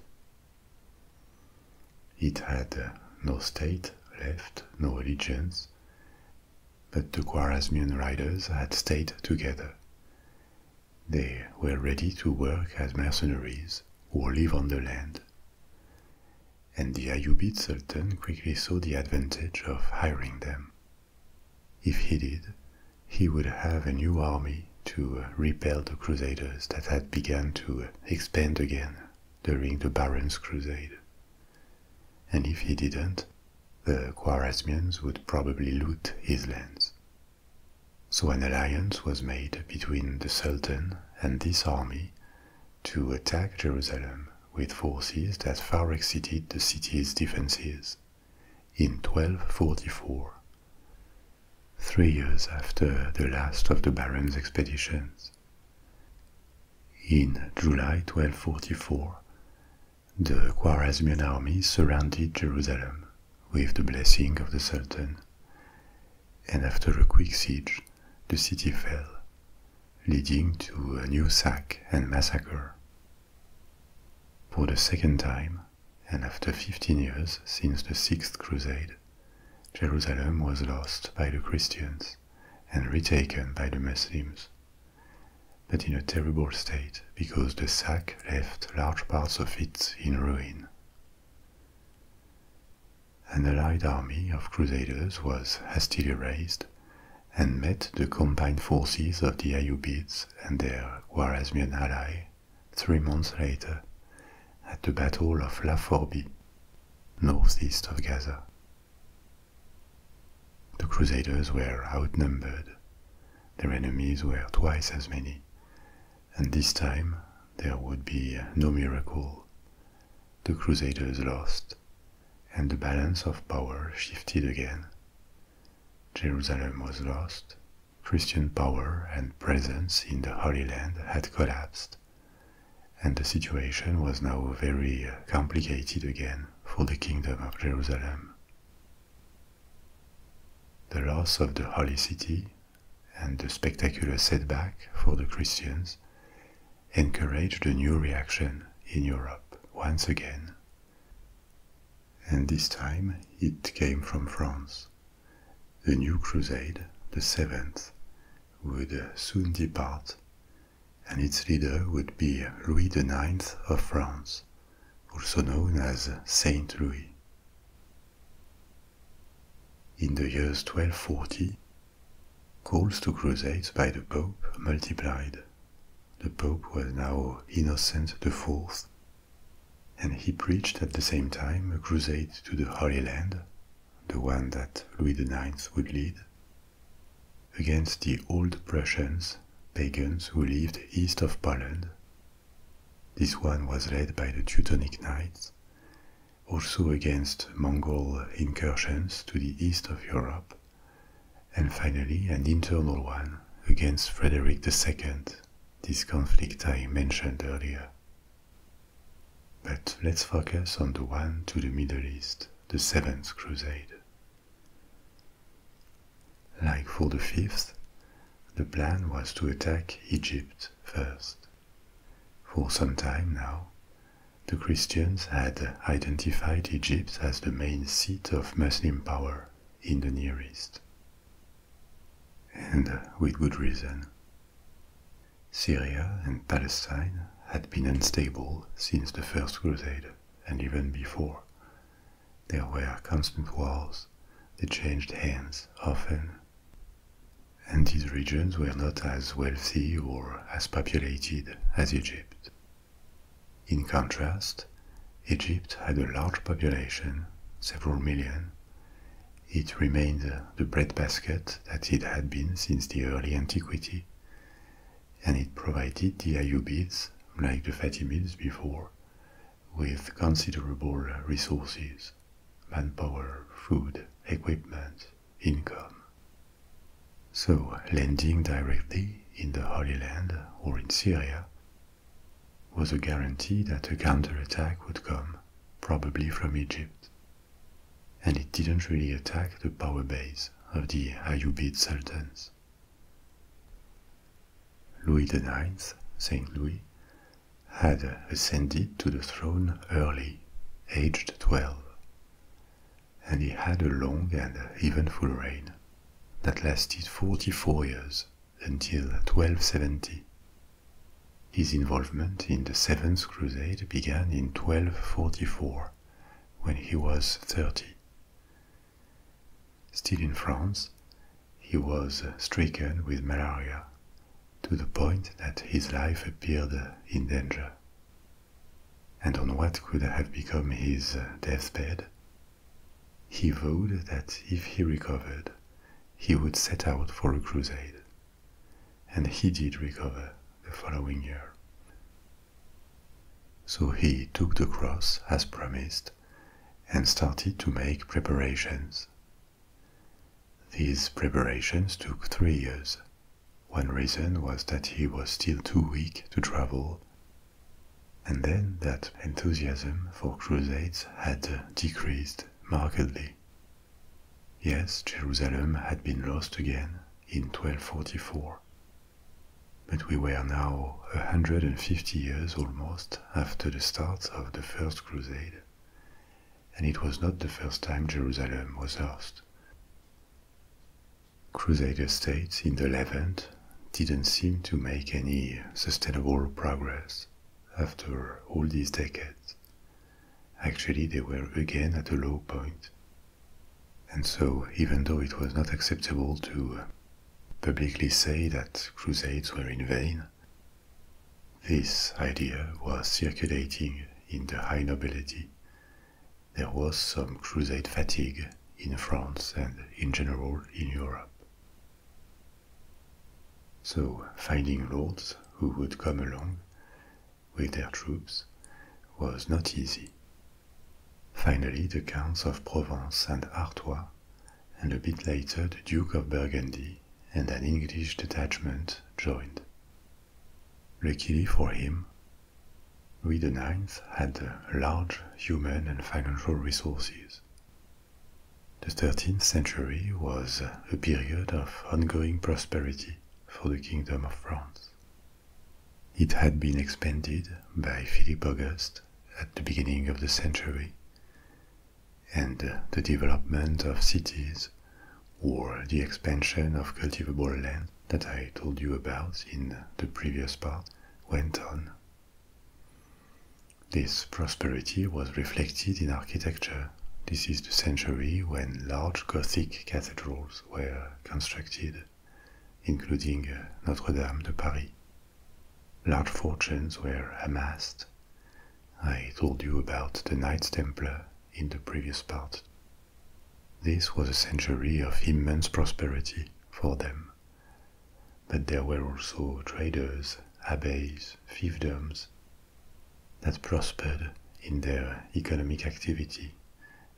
Speaker 1: It had no state left, no allegiance, but the Khwarezmian riders had stayed together. They were ready to work as mercenaries or live on the land. And the Ayubid Sultan quickly saw the advantage of hiring them if he did, he would have a new army to repel the Crusaders that had begun to expand again during the Baron's Crusade. And if he didn't, the Khwarezmians would probably loot his lands. So an alliance was made between the Sultan and this army to attack Jerusalem with forces that far exceeded the city's defenses in 1244, three years after the last of the Baron's expeditions. In July 1244, the Khwarezmian army surrounded Jerusalem with the blessing of the Sultan, and after a quick siege, the city fell, leading to a new sack and massacre for the second time, and after 15 years since the Sixth Crusade, Jerusalem was lost by the Christians and retaken by the Muslims, but in a terrible state because the sack left large parts of it in ruin. An allied army of crusaders was hastily raised and met the combined forces of the Ayyubids and their Khwarezmian ally three months later at the Battle of Laforbi, northeast of Gaza. The Crusaders were outnumbered, their enemies were twice as many, and this time there would be no miracle. The Crusaders lost and the balance of power shifted again. Jerusalem was lost, Christian power and presence in the Holy Land had collapsed, and the situation was now very uh, complicated again for the Kingdom of Jerusalem. The loss of the Holy City and the spectacular setback for the Christians encouraged a new reaction in Europe once again and this time it came from France. The new crusade, the seventh, would soon depart, and its leader would be Louis IX of France, also known as Saint Louis. In the years 1240, calls to crusades by the Pope multiplied. The Pope was now Innocent IV, and he preached at the same time a crusade to the Holy Land, the one that Louis IX would lead, against the old Prussians, pagans who lived east of Poland. This one was led by the Teutonic Knights, also against Mongol incursions to the east of Europe, and finally an internal one against Frederick II, this conflict I mentioned earlier. But let's focus on the one to the Middle East, the Seventh Crusade. Like for the fifth, the plan was to attack Egypt first. For some time now, the Christians had identified Egypt as the main seat of. Muslim power in the Near East. And uh, with good reason. Syria and Palestine had been unstable since the First Crusade and even before. There were constant wars, they changed hands often. And these regions were not as wealthy or as populated as Egypt. In contrast, Egypt had a large population, several million. It remained the breadbasket that it had been since the early antiquity, and it provided the Ayyubids, like the Fatimids before, with considerable resources manpower, food, equipment, income. So, landing directly in the Holy Land or in Syria was a guarantee that a counterattack would come, probably from Egypt. And it didn't really attack the power base of the Ayyubid sultans. Louis IX, Saint Louis, had ascended to the throne early, aged 12 and he had a long and eventful reign that lasted 44 years until 1270. His involvement in the Seventh Crusade began in 1244 when he was 30. Still in France, he was stricken with malaria to the point that his life appeared in danger. And on what could have become his deathbed, he vowed that if he recovered, he would set out for a crusade. And he did recover the following year. So he took the cross as promised and started to make preparations. These preparations took three years. One reason was that he was still too weak to travel and then that enthusiasm for crusades had decreased markedly. Yes, Jerusalem had been lost again in 1244. But we were now 150 years almost after the start of the First Crusade, and it was not the first time Jerusalem was lost. Crusader states in the Levant didn't seem to make any sustainable progress after all these decades. Actually, they were again at a low point. And so, even though it was not acceptable to publicly say that crusades were in vain, this idea was circulating in the high nobility there was some crusade fatigue in France and in general in Europe. So, finding lords who would come along with their troops was not easy. Finally, the Counts of Provence and Artois, and a bit later the Duke of Burgundy and an English detachment joined. Luckily for him, Louis IX had large human and financial resources. The 13th century was a period of ongoing prosperity for the Kingdom of France. It had been expanded by Philip Auguste at the beginning of the century, and the development of cities or the expansion of cultivable land that I told you about in the previous part went on this prosperity was reflected in architecture. This is the century when large Gothic cathedrals were constructed, including uh, Notre Dame de Paris. Large fortunes were amassed. I told you about the Knights Templar in the previous part. This was a century of immense prosperity for them. But there were also traders, abbeys, fiefdoms that prospered in their economic activity,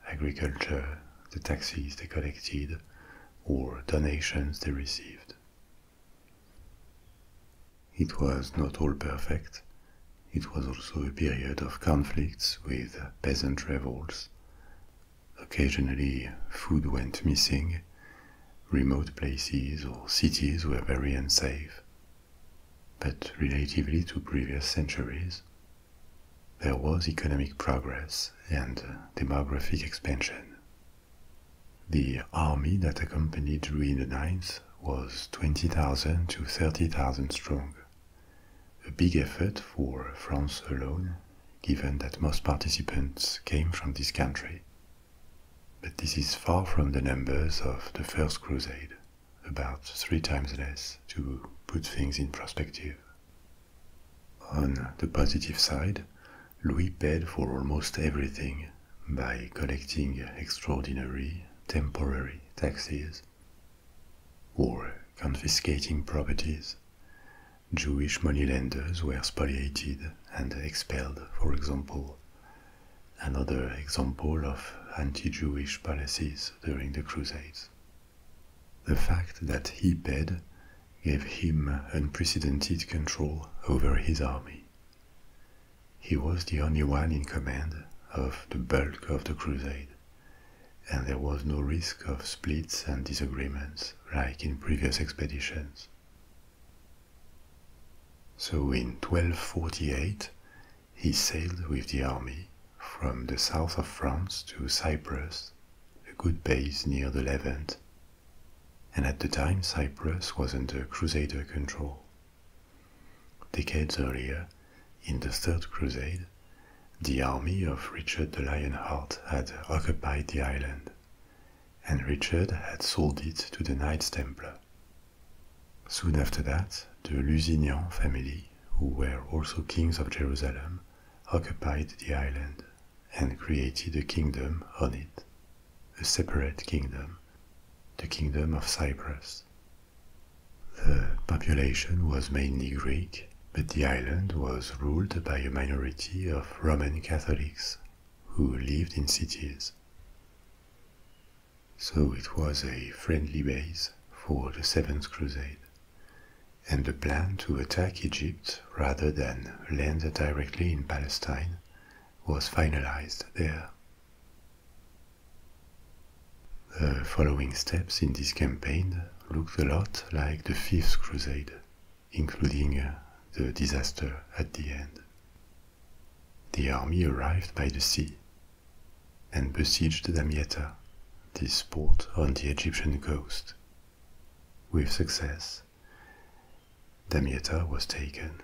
Speaker 1: agriculture, the taxes they collected, or donations they received. It was not all perfect. It was also a period of conflicts with peasant revolts, Occasionally, food went missing. Remote places or cities were very unsafe. But relatively to previous centuries, there was economic progress and demographic expansion. The army that accompanied Louis IX was 20,000 to 30,000 strong, a big effort for France alone given that most participants came from this country. But this is far from the numbers of the First Crusade, about three times less, to put things in perspective. On the positive side, Louis paid for almost everything by collecting extraordinary temporary taxes, or confiscating properties. Jewish moneylenders were spoliated and expelled, for example. Another example of anti Jewish policies during the Crusades. The fact that he paid gave him unprecedented control over his army. He was the only one in command of the bulk of the crusade, and there was no risk of splits and disagreements like in previous expeditions. So in 1248, he sailed with the army from the south of France to Cyprus, a good base near the Levant, and at the time Cyprus was under Crusader control. Decades earlier, in the Third Crusade, the army of Richard the Lionheart had occupied the island, and Richard had sold it to the Knights Templar. Soon after that, the Lusignan family, who were also kings of Jerusalem, occupied the island and created a kingdom on it, a separate kingdom, the Kingdom of Cyprus. The population was mainly Greek but the island was ruled by a minority of Roman Catholics who lived in cities. So it was a friendly base for the Seventh Crusade, and the plan to attack Egypt rather than land directly in Palestine was finalized there. The following steps in this campaign looked a lot like the Fifth Crusade including uh, the disaster at the end. The army arrived by the sea and besieged Damietta, this port on the Egyptian coast. With success, Damietta was taken.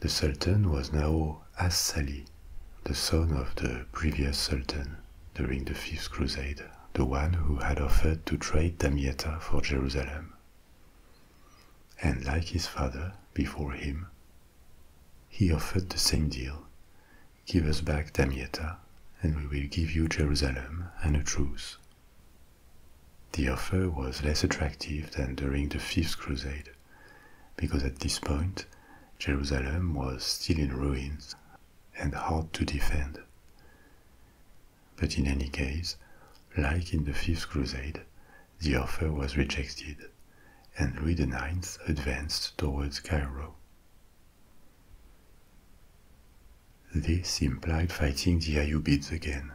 Speaker 1: The Sultan was now As-Sali, the son of the previous Sultan during the Fifth Crusade the one who had offered to trade Damietta for Jerusalem. And like his father before him, he offered the same deal Give us back Damietta, and we will give you Jerusalem and a truce. The offer was less attractive than during the Fifth Crusade, because at this point Jerusalem was still in ruins and hard to defend. But in any case, like in the Fifth Crusade, the offer was rejected, and Louis IX advanced towards Cairo. This implied fighting the Ayyubids again,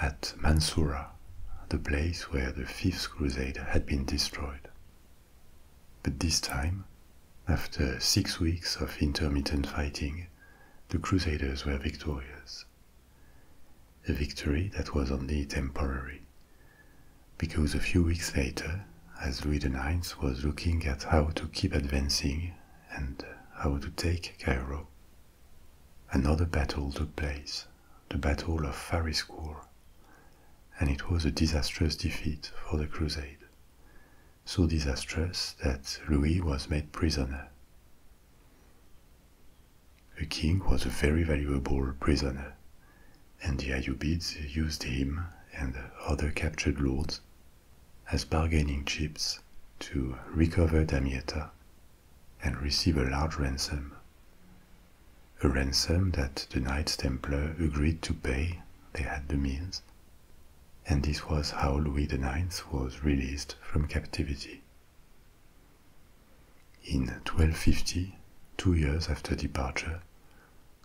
Speaker 1: at Mansoura, the place where the Fifth Crusade had been destroyed. But this time, after six weeks of intermittent fighting, the Crusaders were victorious. A victory that was only temporary. Because a few weeks later, as Louis IX was looking at how to keep advancing and how to take Cairo, another battle took place, the Battle of Fariscourt, and it was a disastrous defeat for the Crusade so disastrous that Louis was made prisoner. The king was a very valuable prisoner, and the Ayyubids used him and other captured lords as bargaining chips to recover Damietta and receive a large ransom. A ransom that the Knights Templar agreed to pay, they had the means, and this was how Louis IX was released from captivity. In 1250, two years after departure,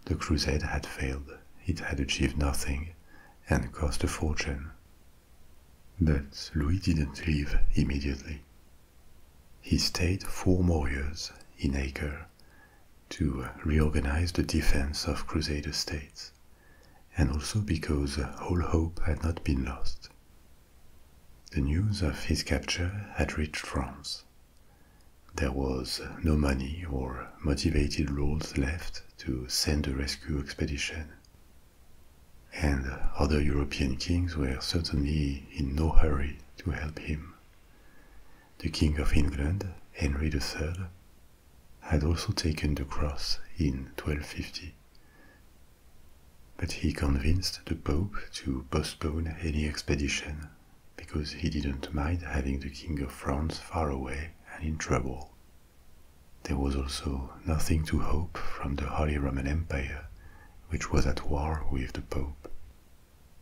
Speaker 1: the crusade had failed, it had achieved nothing, and cost a fortune. But Louis didn't leave immediately. He stayed four more years in Acre to reorganize the defense of Crusader states, and also because all hope had not been lost. The news of his capture had reached France. There was no money or motivated lords left to send a rescue expedition. And other European kings were certainly in no hurry to help him. The King of England, Henry III, had also taken the cross in 1250. But he convinced the Pope to postpone any expedition because he didn't mind having the King of France far away and in trouble. There was also nothing to hope from the Holy Roman Empire, which was at war with the Pope.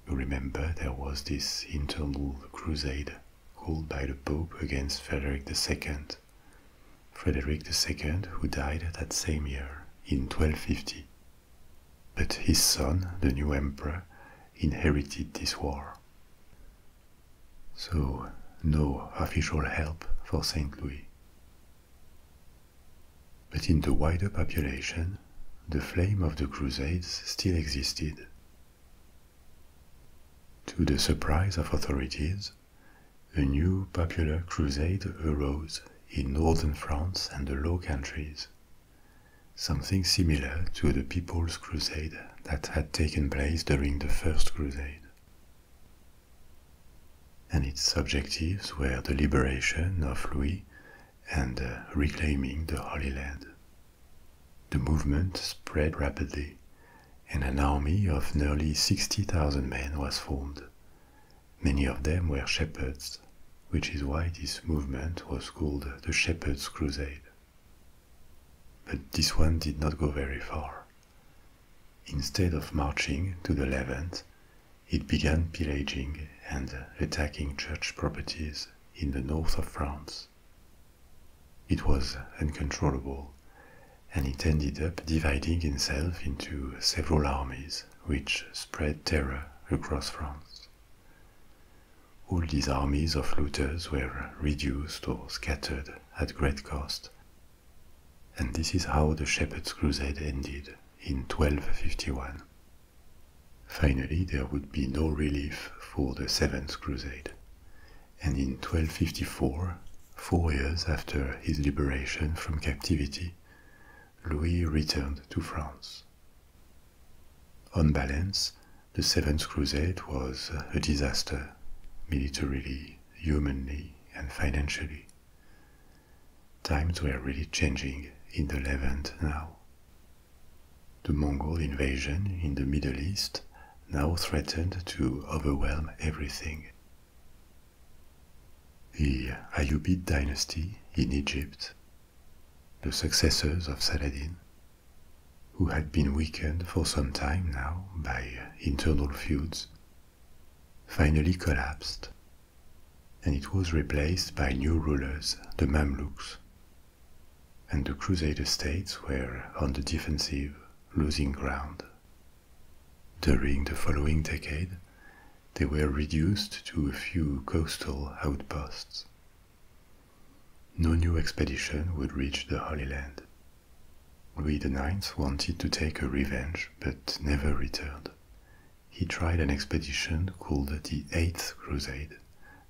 Speaker 1: You remember there was this internal crusade called by the Pope against Frederick II. Frederick II, who died that same year, in 1250. But his son, the new emperor, inherited this war. So, no official help for St. Louis. But in the wider population, the flame of the Crusades still existed, to the surprise of authorities, a new popular crusade arose in northern France and the Low Countries, something similar to the People's Crusade that had taken place during the First Crusade. And its objectives were the liberation of Louis and uh, reclaiming the Holy Land. The movement spread rapidly, and an army of nearly 60,000 men was formed. Many of them were shepherds, which is why this movement was called the Shepherds' Crusade. But this one did not go very far. Instead of marching to the Levant, it began pillaging and attacking church properties in the north of France. It was uncontrollable, and it ended up dividing itself into several armies, which spread terror across France. All these armies of looters were reduced or scattered at great cost, and this is how the Shepherds' Crusade ended in 1251. Finally, there would be no relief for the Seventh Crusade and in 1254, four years after his liberation from captivity, Louis returned to France. On balance, the Seventh Crusade was a disaster, militarily, humanly, and financially. Times were really changing in the Levant now. The Mongol invasion in the Middle East now threatened to overwhelm everything. The Ayyubid dynasty in Egypt, the successors of Saladin, who had been weakened for some time now by internal feuds, finally collapsed, and it was replaced by new rulers, the Mamluks, and the Crusader states were on the defensive, losing ground. During the following decade, they were reduced to a few coastal outposts. No new expedition would reach the Holy Land. Louis IX wanted to take a revenge but never returned. He tried an expedition called the Eighth Crusade,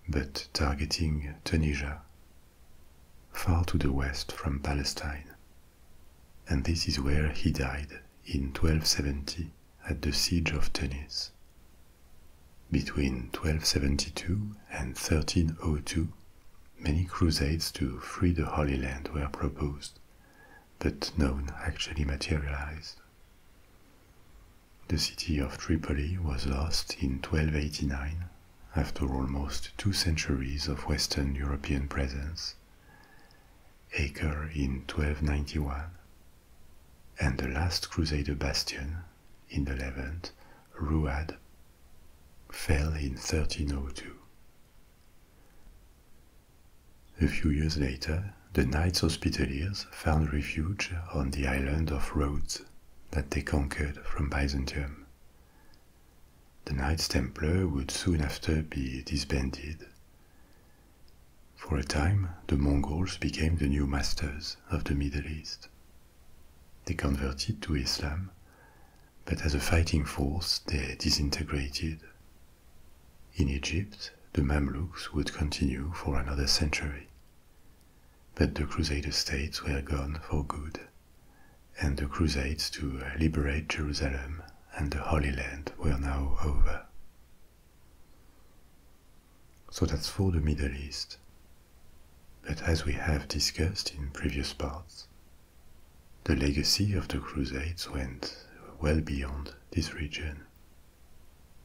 Speaker 1: but targeting Tunisia far to the west from Palestine. And this is where he died in 1270 at the siege of Tunis. Between 1272 and 1302, many crusades to free the Holy Land were proposed, but none actually materialized. The city of Tripoli was lost in 1289 after almost two centuries of Western European presence, Acre in 1291, and the last Crusader bastion in the Levant, Rouad, fell in 1302. A few years later, the Knights Hospitallers found refuge on the island of Rhodes that they conquered from Byzantium. The Knights Templar would soon after be disbanded. For a time, the Mongols became the new masters of the Middle East. They converted to Islam, but as a fighting force they disintegrated. In Egypt, the Mamluks would continue for another century. That the Crusader states were gone for good, and the crusades to liberate Jerusalem and the Holy Land were now over. So that's for the Middle East. But as we have discussed in previous parts, the legacy of the Crusades went well beyond this region.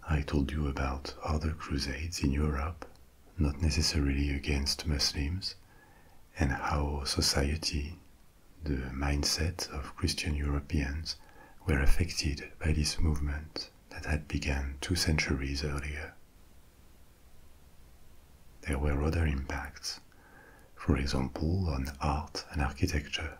Speaker 1: I told you about other crusades in Europe not necessarily against Muslims, and how society, the mindset of Christian Europeans, were affected by this movement that had begun two centuries earlier. There were other impacts, for example, on art and architecture.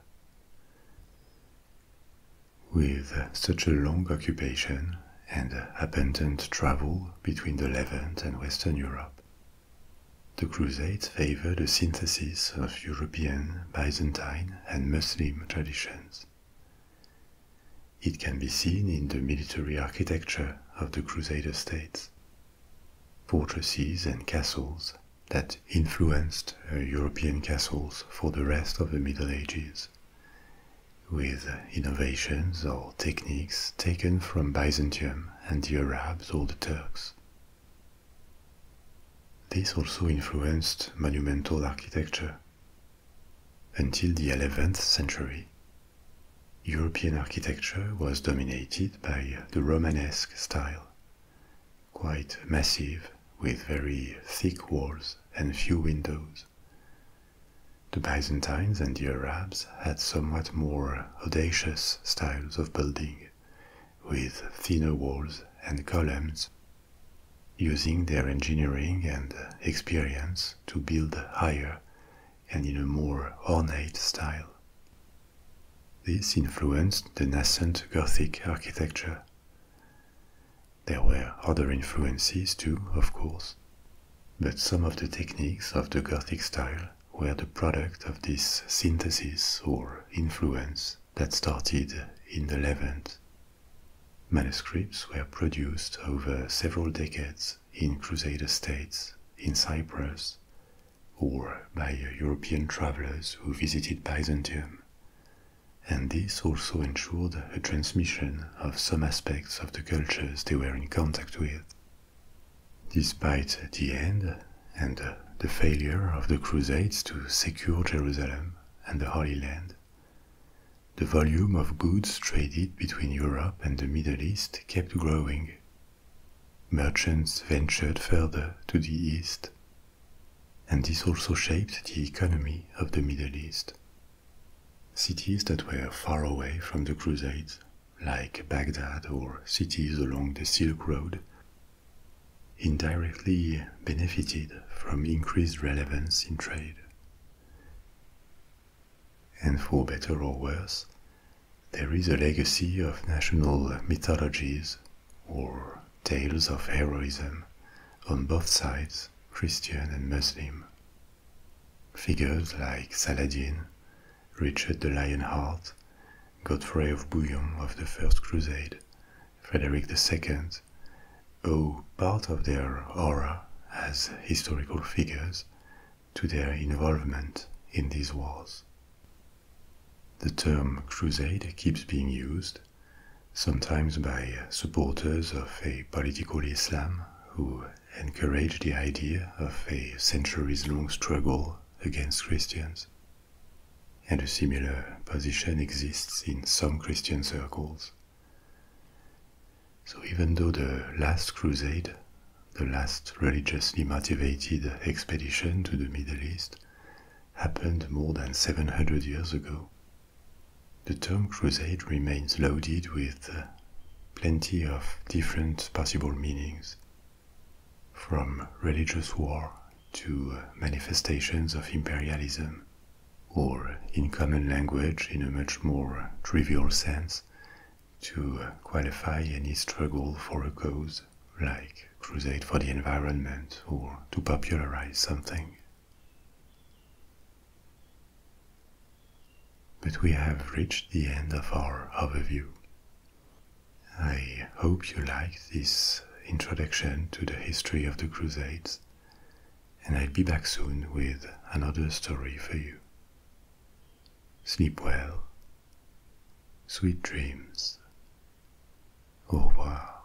Speaker 1: With such a long occupation, and abundant travel between the Levant and Western Europe. The Crusades favored a synthesis of European, Byzantine, and Muslim traditions. It can be seen in the military architecture of the Crusader states. Fortresses and castles that influenced uh, European castles for the rest of the Middle Ages with innovations or techniques taken from Byzantium and the Arabs or the Turks. This also influenced monumental architecture. Until the 11th century, European architecture was dominated by the Romanesque style, quite massive with very thick walls and few windows. The Byzantines and the Arabs had somewhat more audacious styles of building, with thinner walls and columns, using their engineering and experience to build higher and in a more ornate style. This influenced the nascent Gothic architecture. There were other influences too, of course. But some of the techniques of the Gothic style were the product of this synthesis or influence that started in the Levant. Manuscripts were produced over several decades in Crusader states, in Cyprus, or by European travelers who visited Byzantium. And this also ensured a transmission of some aspects of the cultures they were in contact with. Despite the end and the failure of the Crusades to secure Jerusalem and the Holy Land, the volume of goods traded between Europe and the Middle East kept growing. Merchants ventured further to the east, and this also shaped the economy of the Middle East, Cities that were far away from the Crusades, like Baghdad or cities along the Silk Road, indirectly benefited from increased relevance in trade. And for better or worse, there is a legacy of national mythologies or tales of heroism on both sides, Christian and Muslim, Figures like Saladin, Richard the Lionheart, Godfrey of Bouillon of the First Crusade, Frederick II, owe part of their aura as historical figures to their involvement in these wars. The term crusade keeps being used, sometimes by supporters of a political Islam who Encourage the idea of a centuries long struggle against Christians. And a similar position exists in some Christian circles. So, even though the last crusade, the last religiously motivated expedition to the Middle East, happened more than 700 years ago, the term crusade remains loaded with plenty of different possible meanings, from religious war to manifestations of imperialism, or in common language in a much more trivial sense, to qualify any struggle for a cause, like crusade for the environment or to popularize something. But we have reached the end of our overview. I hope you liked this introduction to the history of the Crusades, and I'll be back soon with another story for you. Sleep well, sweet dreams. Au revoir.